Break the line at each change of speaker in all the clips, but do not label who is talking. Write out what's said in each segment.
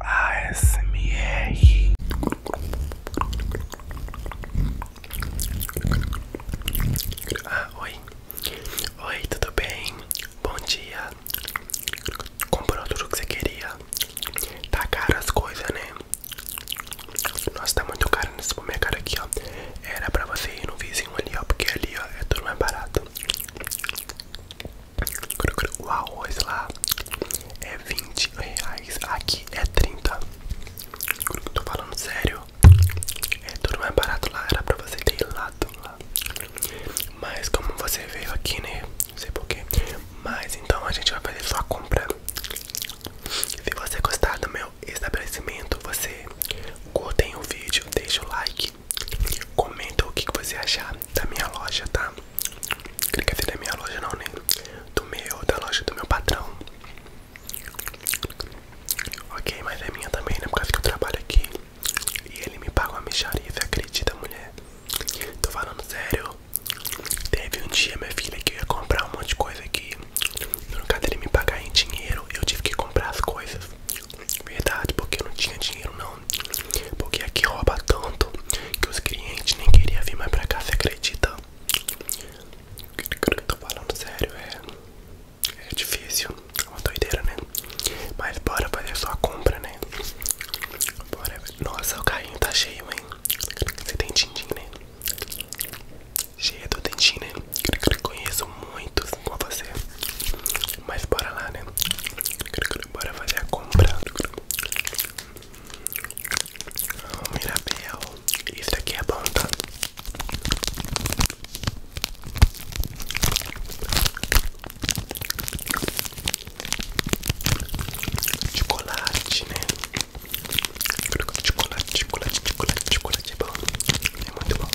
ASMR. Ah, oi. Oi, tudo bem? Bom dia. Comprou tudo que você queria? Tá caro as coisas, né? Nossa, tá muito caro nesse cara aqui, ó. Era pra você ir no vizinho ali, ó. Porque ali, ó, é tudo mais barato. O arroz lá é 20 reais, aqui é 30. Tô falando sério. É tudo mais barato lá, era pra você ter lá Mas como você veio aqui, né? Não sei porquê. Mas então a gente vai fazer sua compra. Se você gostar do meu estabelecimento, você curtem o vídeo, deixa o like Comenta o que você achar da minha loja, tá? Quer dizer, da minha loja não, né? Do meu, da loja do meu patrão. Ok, mas é minha também, né? Por causa que eu trabalho aqui. E ele me paga uma micharia, você acredita, mulher? Tô falando sério. Teve um dia, minha filha, que ia comprar um monte de coisa aqui. No caso dele me pagar em dinheiro, eu tive que comprar as coisas. Verdade, porque eu não tinha dinheiro não. Porque aqui rouba tanto que os clientes nem queriam vir mais pra cá, você acredita? Tô falando sério, é, é difícil, é uma doideira, né? Mas bora fazer sua compra, né? Nossa, o carrinho tá cheio, hein? Você tem tintim, né? Cheio do dentinho, né? Conheço muitos com você. Mas bora lá, né? Bora fazer a compra. Oh, Mirabel, isso daqui é bom, tá? Chocolate, né? Chocolate, chocolate, chocolate, chocolate é bom. É muito bom.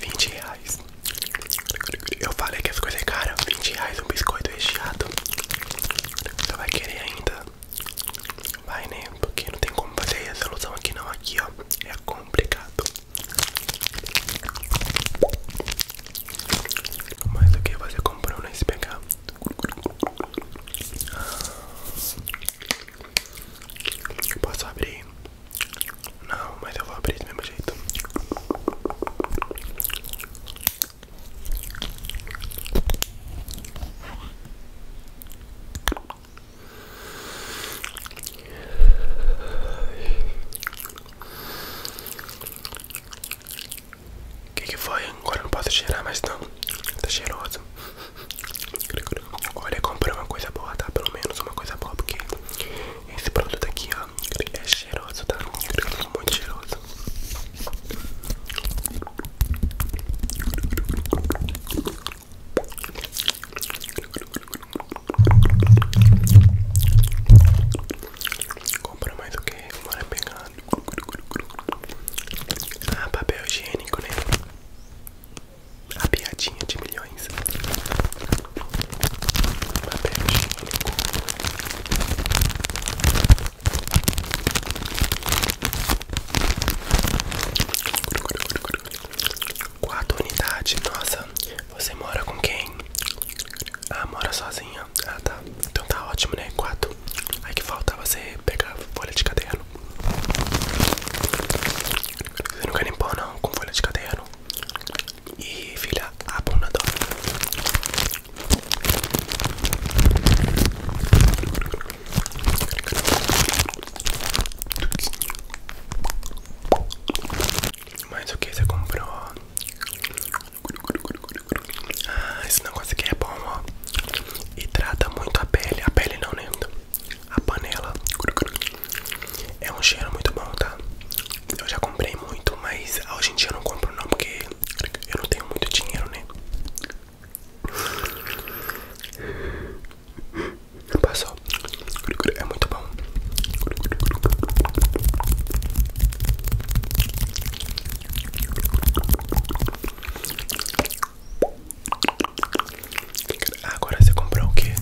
20 reais. Eu falei que as coisas é cara. 20 reais um biscoito recheado. Você vai querer ainda? Vai, né? Porque não tem como fazer resolução aqui não. Aqui, ó. É complicado. Mas o que você comprou se pegar. Posso abrir? Não, mas eu vou abrir do mesmo jeito. O é que, foi? Agora não posso cheirar mais não. Tá cheiroso. Olha, comprei uma coisa boa, tá? Pelo menos uma coisa boa, porque esse produto aqui, ó, é cheiroso, tá? Muito cheiroso. Compra mais o que? Bora pegar. Ah, papel higiênico, né? A piadinha de milhões. Papel higiênico. Quatro unidades, nossa, você mora com quem? Ah, mora sozinha. Ah, tá. Então tá ótimo, né? Quatro. Aí que falta você pegar folha de caderno. Você não nunca limpou, não, com folha de caderno. E filha, a bunda dói. Mas o que você comprou? Ah, esse negócio aqui é bom, ó. Hidrata muito a pele. A pele não, né? A panela. É um cheiro muito bom, tá? Eu já comprei muito, mas hoje em dia eu não compro não, porque eu não tenho muito dinheiro, né? Passou é muito bom. Agora você comprou o que?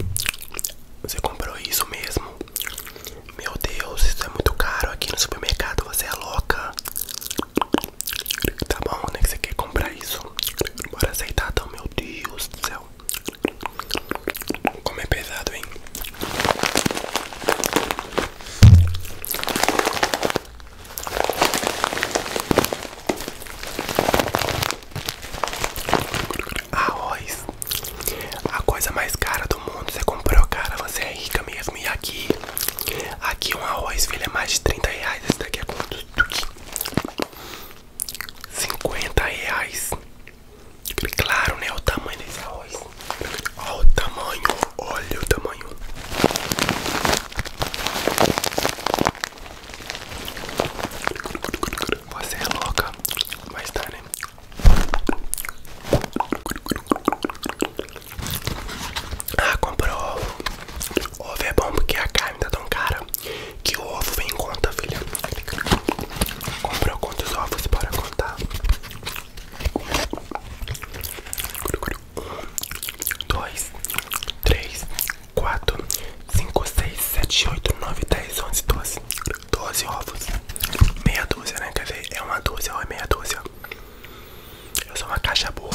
Você comprou isso mesmo? Meu Deus, isso é muito caro aqui no supermercado. Você é louca. Tá bom, né? Que você quer comprar isso? Bora aceitar, então, meu Deus do céu. Como é pesado, hein? Arroz A coisa mais cara do mundo Você comprou, cara, você é rica mesmo E aqui, aqui um arroz, filho, é mais de 30 reais Esse daqui é quanto? 50 reais Claro, né? O tamanho desse arroz. Olha o tamanho. Olha o tamanho. Você é louca. Mas tá, né? Ah, comprou ovo. Ovo é bom porque a carne tá tão cara. Que ovo vem em conta, filha? Comprou quantos ovos para contar? Um, dois, três, quatro, cinco, seis, sete, oito, nove, dez, onze, doze. Doze ovos. Meia dúzia, né? Quer ver? É uma dúzia ou é meia dúzia? Eu sou uma caixa boa.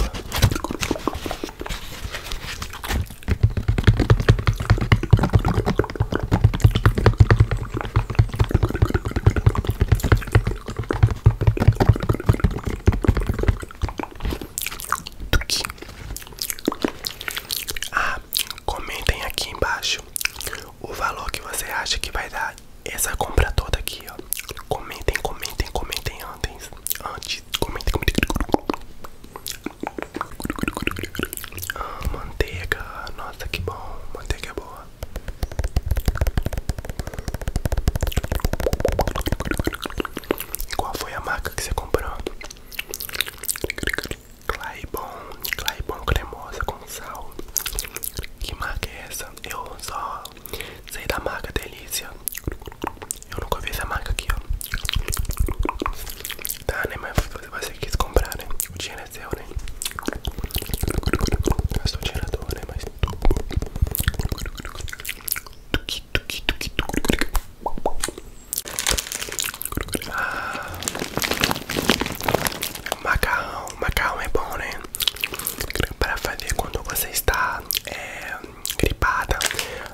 Tuki. Ah, comentem aqui embaixo o valor que você acha que vai dar essa compra toda aqui, ó. Comentem, comentem, comentem antes. Antes, comentem, comentem. Ah, manteiga, nossa que bom, manteiga é boa. qual foi a marca que você comprou? Claibon, Claibon cremosa com sal. Que marca é essa? Eu só sei da marca Delícia. Eu nunca vi essa marca aqui, ó. Tá, né? Mas você quis comprar, né? O dinheiro é seu, né? Gastou dinheiro à toa, né? Mas. Ah, macarrão, macarrão é bom, né? Para fazer quando você está é, gripada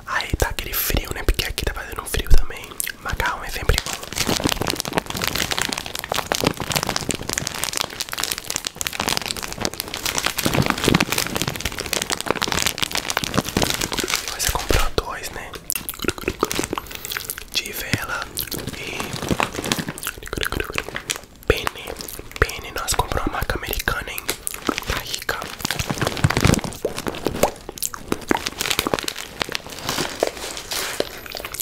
Aí tá aquele frio, né? Porque aqui tá fazendo frio também. Macarrão é sempre bom. Você comprou dois, né? De vela e pene. Pene, nós compramos uma marca americana, hein? Tá rica.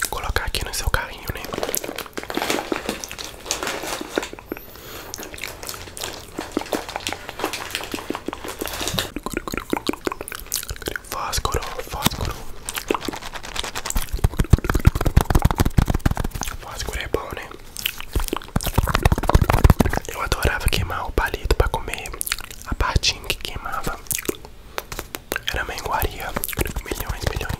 Colocar aqui no seu carrinho, né? Fósforo, fósforo. Fósforo é bom, né? Eu adorava queimar o palito para comer a partinha que queimava. Era menguaria, milhões, milhões.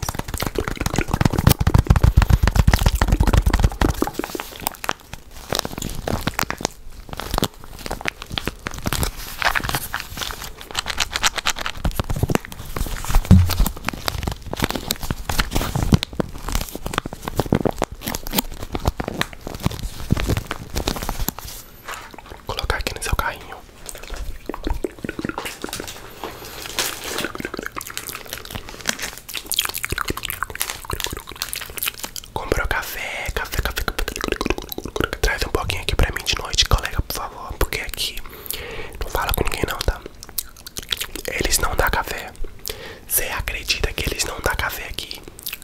Vou colocar aqui no seu carrinho. Comprou café, café, café, café. Traz um pouquinho aqui pra mim de noite, colega, por favor. Porque aqui não fala com ninguém, não, tá? Eles não dão café. Você acredita que eles não dão café aqui?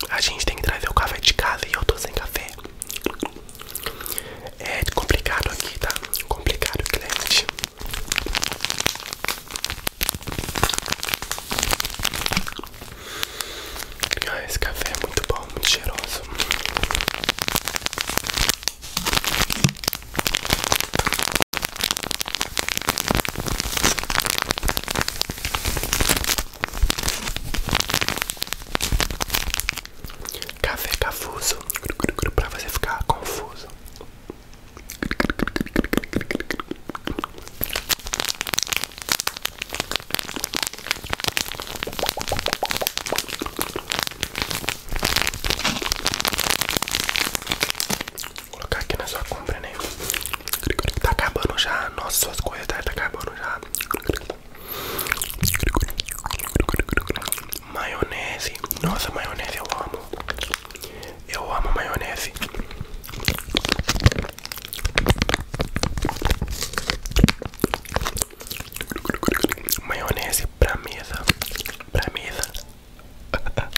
a gente tem que trazer o café de casa e eu tô sem café. É complicado aqui, tá? Complicado, cliente. Ah, esse café é muito bom, muito cheiroso. Café Cafuso para você ficar confuso. Vou colocar aqui na sua compra, né? Tá acabando já. Nossa, suas coisas tá acabando já. Maionese. Nossa, maionese eu amo. Eu amo maionese. Maionese pra mesa. Pra mesa. Para tá.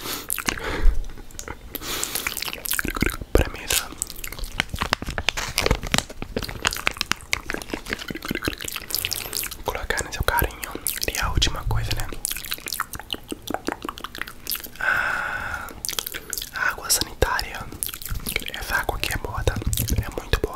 Colocar no seu carinho E a última coisa, né? Ah, água sanitária Essa água aqui é boa, tá? É muito boa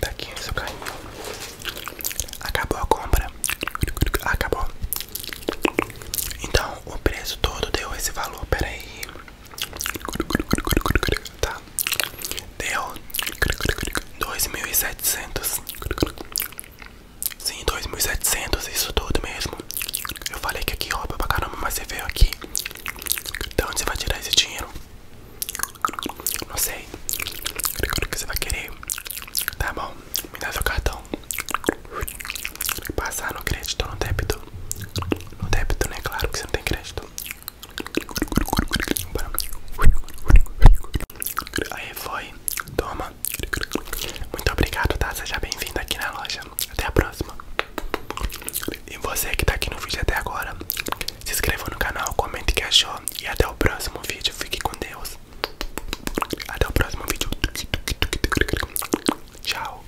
Tá aqui no seu carrinho. Acabou a compra. Acabou. Então o preço todo deu esse valor. Pera aí. Tá. Deu 2.700. Sim, 2.700. Isso todo mesmo. Eu falei que aqui rouba pra caramba, mas você veio aqui. Então onde você vai tirar esse dinheiro? Não sei o que você vai querer. Tá bom, me dá seu cartão. Passar no crédito, ou no débito. No débito, né? Claro que você não tem crédito. Aí foi, toma. Muito obrigado, tá? Seja bem-vindo aqui na loja. Até a próxima. E você que tá aqui no vídeo até agora, se inscreva no canal, comente o que achou e até o próximo vídeo. Fique com Deus. Até o próximo vídeo. Tchau.